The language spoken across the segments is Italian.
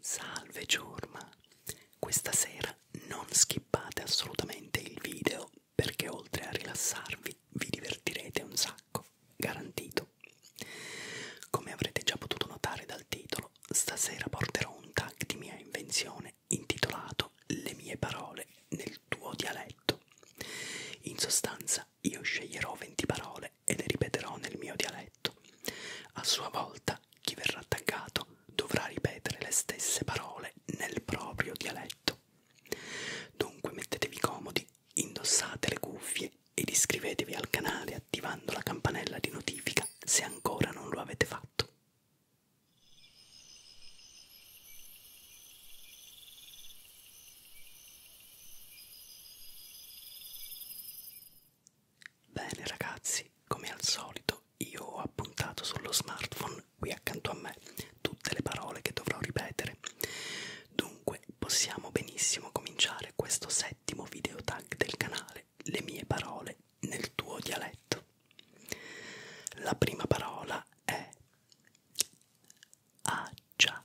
Salve ciurma! Questa sera non skippate assolutamente il video perché oltre a rilassarvi vi divertirete un sacco, garantito. Come avrete già potuto notare dal titolo, stasera porterò un tag di mia invenzione intitolato Le mie parole nel tuo dialetto. In sostanza io sceglierò 20 parole e le ripeterò nel mio dialetto. A sua volta, chi verrà attaccato dovrà ripetere le stesse parole nel proprio dialetto. Dunque mettetevi comodi, indossate le cuffie ed iscrivetevi al canale attivando la campanella di notifica se ancora non lo avete fatto. Bene ragazzi, come al solito io ho appuntato sullo smartphone qui accanto a me tutte le parole che dovrò ripetere. Dunque possiamo benissimo cominciare questo settimo video tag del canale, le mie parole nel tuo dialetto. La prima parola è accia. Ah,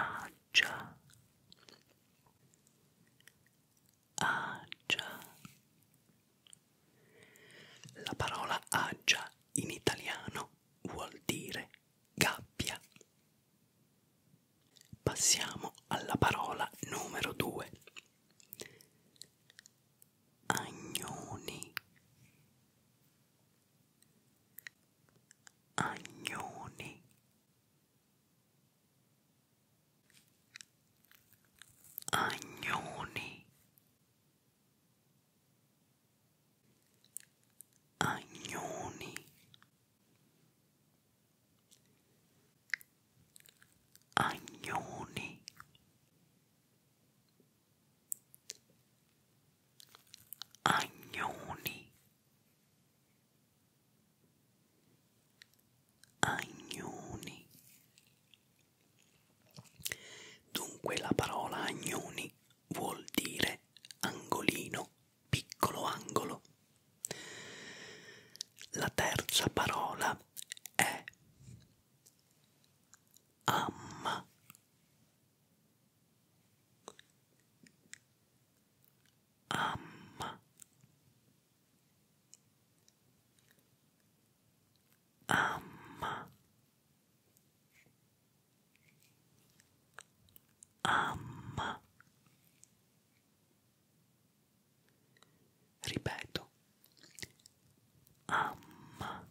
Agia. Agia. La parola agia in italiano vuol dire gabbia. Passiamo alla parola numero due. Agnoni. Agnoni Agnoni Agnoni Agnoni Agnoni Agnoni. Dunque la parola agnoni vuol dire angolino, piccolo angolo. La terza parola è amma. Amma. Amma. Amma. Ripeto. Amma.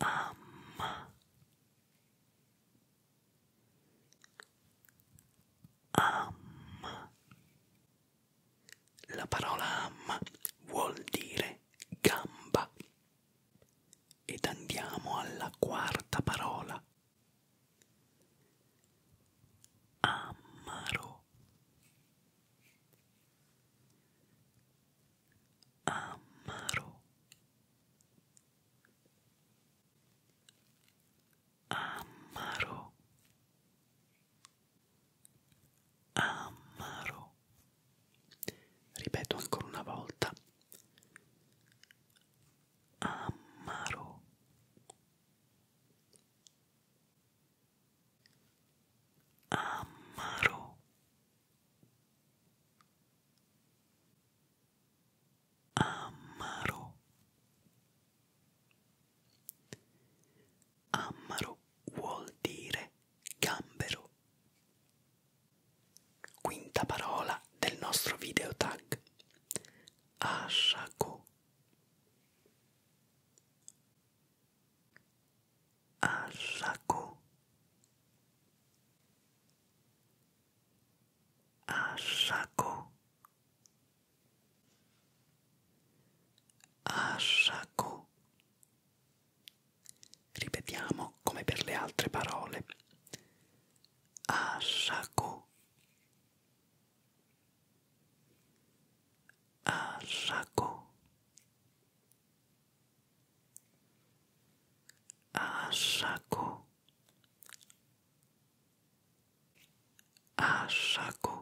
Amma. Amma. La parola amma vuol dire gamba. Ed andiamo alla quarta parola. Amaro amaro amaro amaro ripeto ancora una volta amaro amaro amaro amaro vuol dire gambero quinta parola del nostro video tag asciago Asako Asako Asako Ripetiamo come per le altre parole. Asako Asako Asako Asako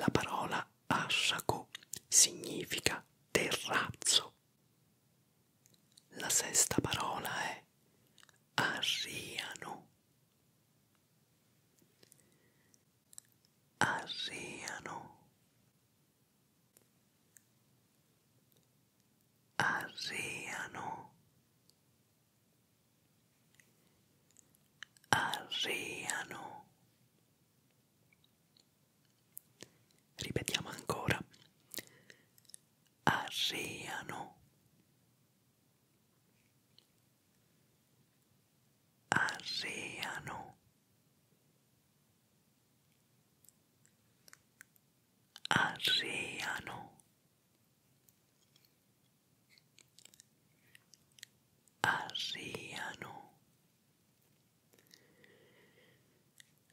La parola Asako significa terrazzo. La sesta parola è Arriano arriano arriano arriano ripetiamo ancora arriano Arriano Arriano Arriano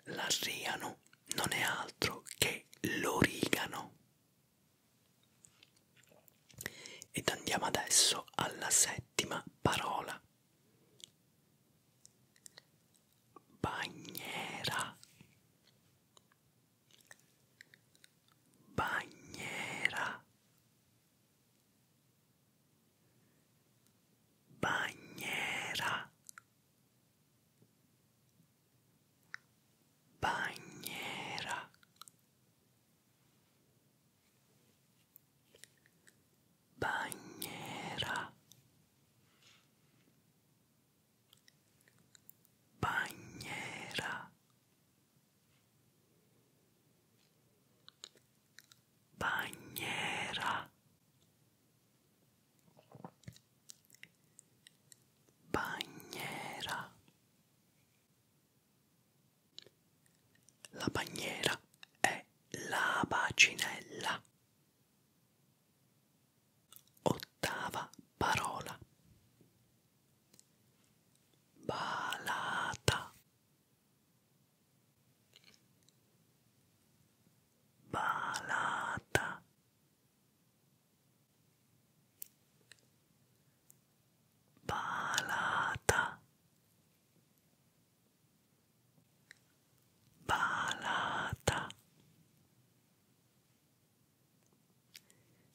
L'arriano non è altro che l'origano ed andiamo adesso alla settima parola. Bagnera. Bagnera. Bagnera. Bagnera. Bagnera. Bagnera. Bagnera. Bagnera. La bandiera è la bacinella. Ottava parola. Balata. Balata. Palata. Palata.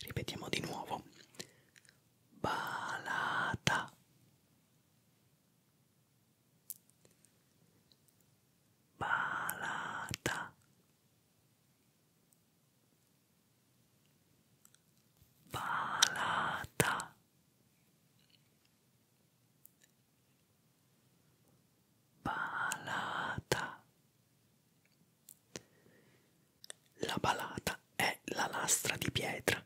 Ripetiamo di nuovo. Palata. Palata palata palata la palata è la lastra di pietra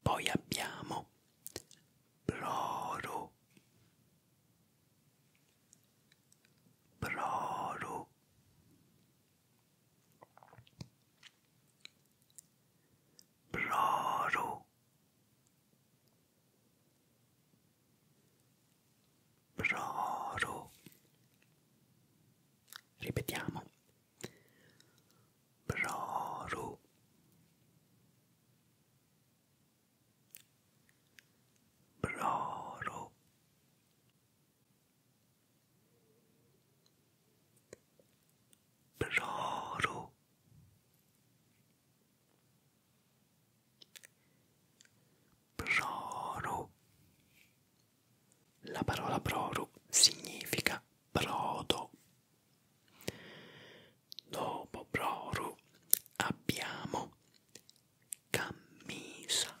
poi abbiamo ploro Proru Proru Proru Ripetiamo Proru Proru Proru Proru La parola proru significa brodo. Dopo proru abbiamo camisa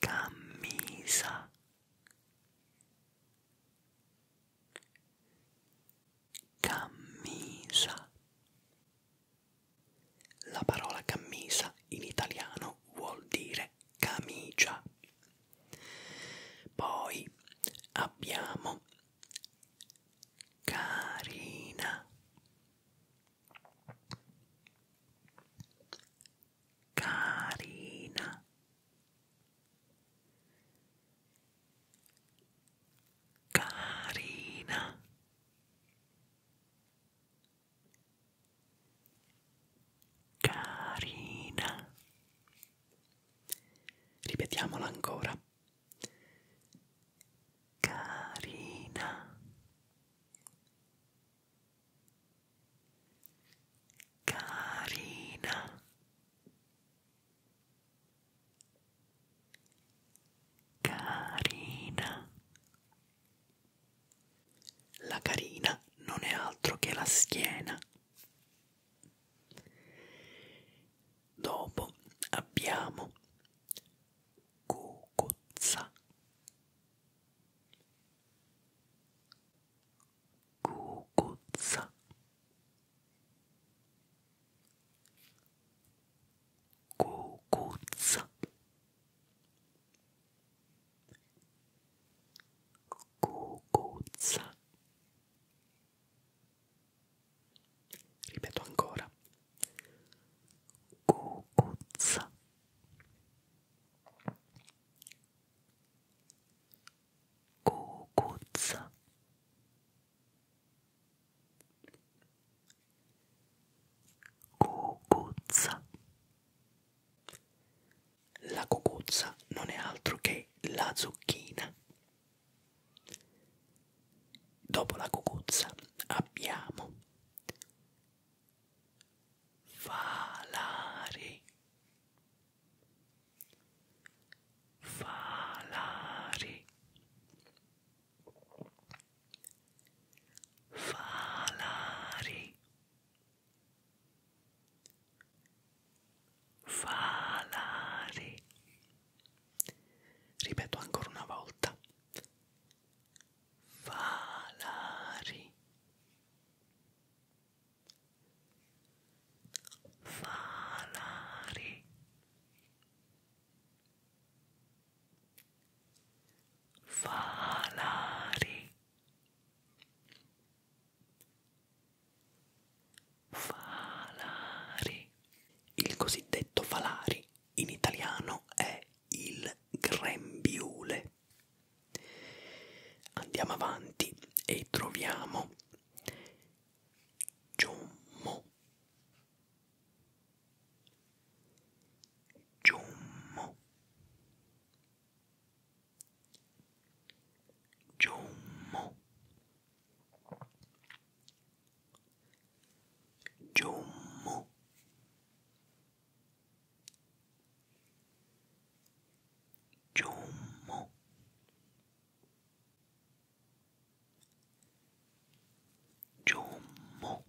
camisa camisa la parola camisa in italiano vuol dire camicia poi abbiamo carina carina carina carina ripetiamola ancora carina carina carina la carina non è altro che la schiena dopo abbiamo cucuzza Cucuzza Cucuzza Cucuzza Ripeto ancora Cucuzza Cucuzza Cucuzza La cucuzza non è altro che la zucchina. Dopo la cucuzza abbiamo Falare. Falare. Falare. Falare. Ripeto ancora una volta. Valari Valari Valari Valari Il cosiddetto valari in italiano è il grembiule niente. Andiamo avanti e troviamo Giommo. Giommo. Giommo. Giommo. Giummo. Giummo.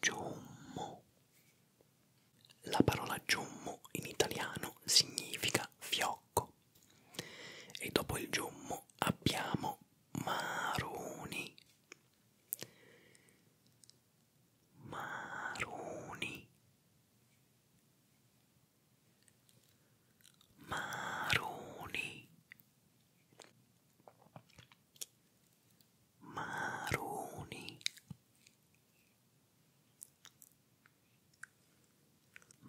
Giummo. La parola giummo in italiano significa fiocco e dopo il giummo abbiamo maroni, maroni maroni maroni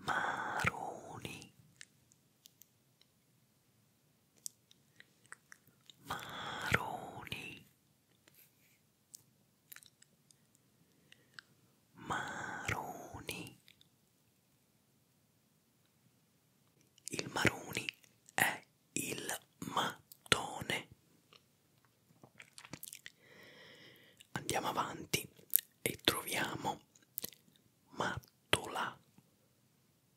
maroni maroni maroni il maroni è il mattone andiamo avanti e troviamo mattola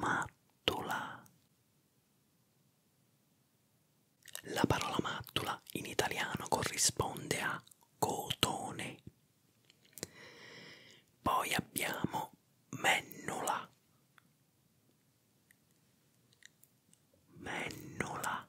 Mattula. La parola mattula in italiano corrisponde a cotone. Poi abbiamo mennula. Mennula.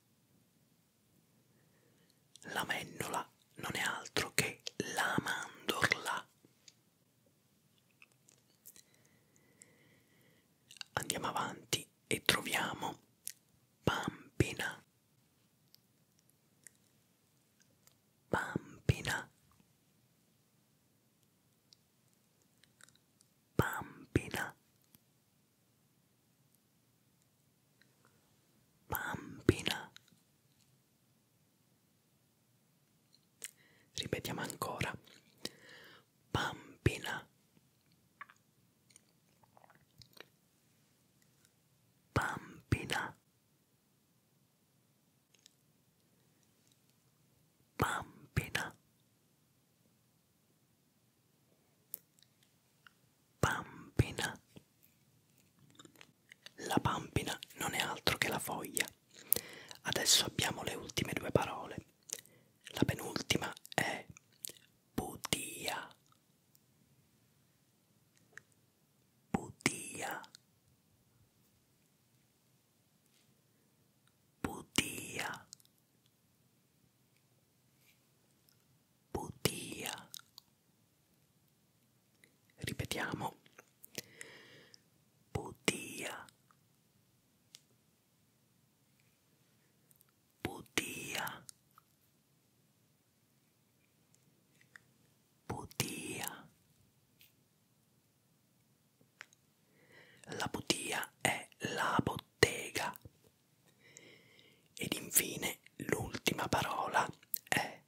La mendola non è altro che la mandorla. Andiamo avanti e troviamo pampina. Pampina. Pampina. Bambina. Ripetiamo ancora. Bambina. Bambina. Bambina. Pampina. La pampina non è altro che la foglia. Adesso abbiamo le ultime due parole. La penultima è butia. Butia. Butia. Butia. Ripetiamo. Butia. Butia. Butia. La butia è la bottega ed infine l'ultima parola è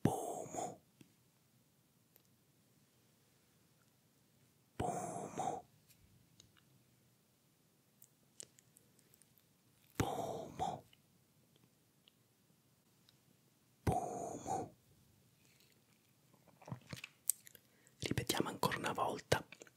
pomo. Pomo. Pomo. Pomo. Ripetiamo ancora una volta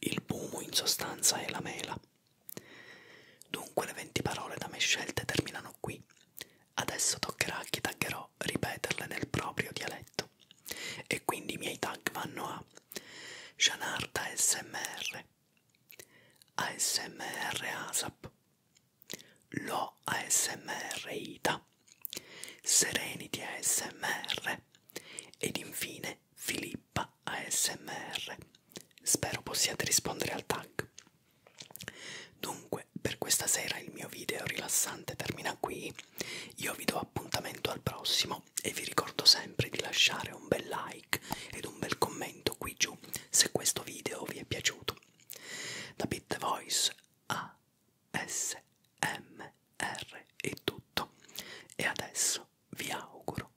Il pomo in sostanza è la mela. Dunque le venti parole da me scelte terminano qui. Adesso toccherà a chi taggerò ripeterle nel proprio dialetto. E quindi i miei tag vanno a Janarda ASMR, ASMR ASAP, Lo ASMR ITA, Serenity ASMR ed infine Filippa ASMR. Spero possiate rispondere al tag. Dunque, per questa sera il mio video rilassante termina qui. Io vi do appuntamento al prossimo e vi ricordo sempre di lasciare un bel like ed un bel commento qui giù se questo video vi è piaciuto. Da Bit The Voice ASMR è tutto e adesso vi auguro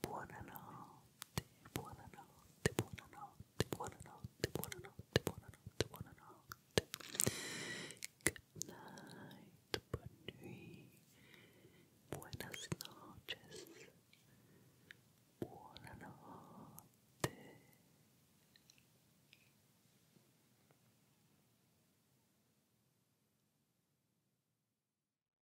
buonanotte, buonanotte, buonanotte, buonanotte, buonanotte, buonanotte, buonanotte. Good night, buon nuit, buenas noches, buonanotte.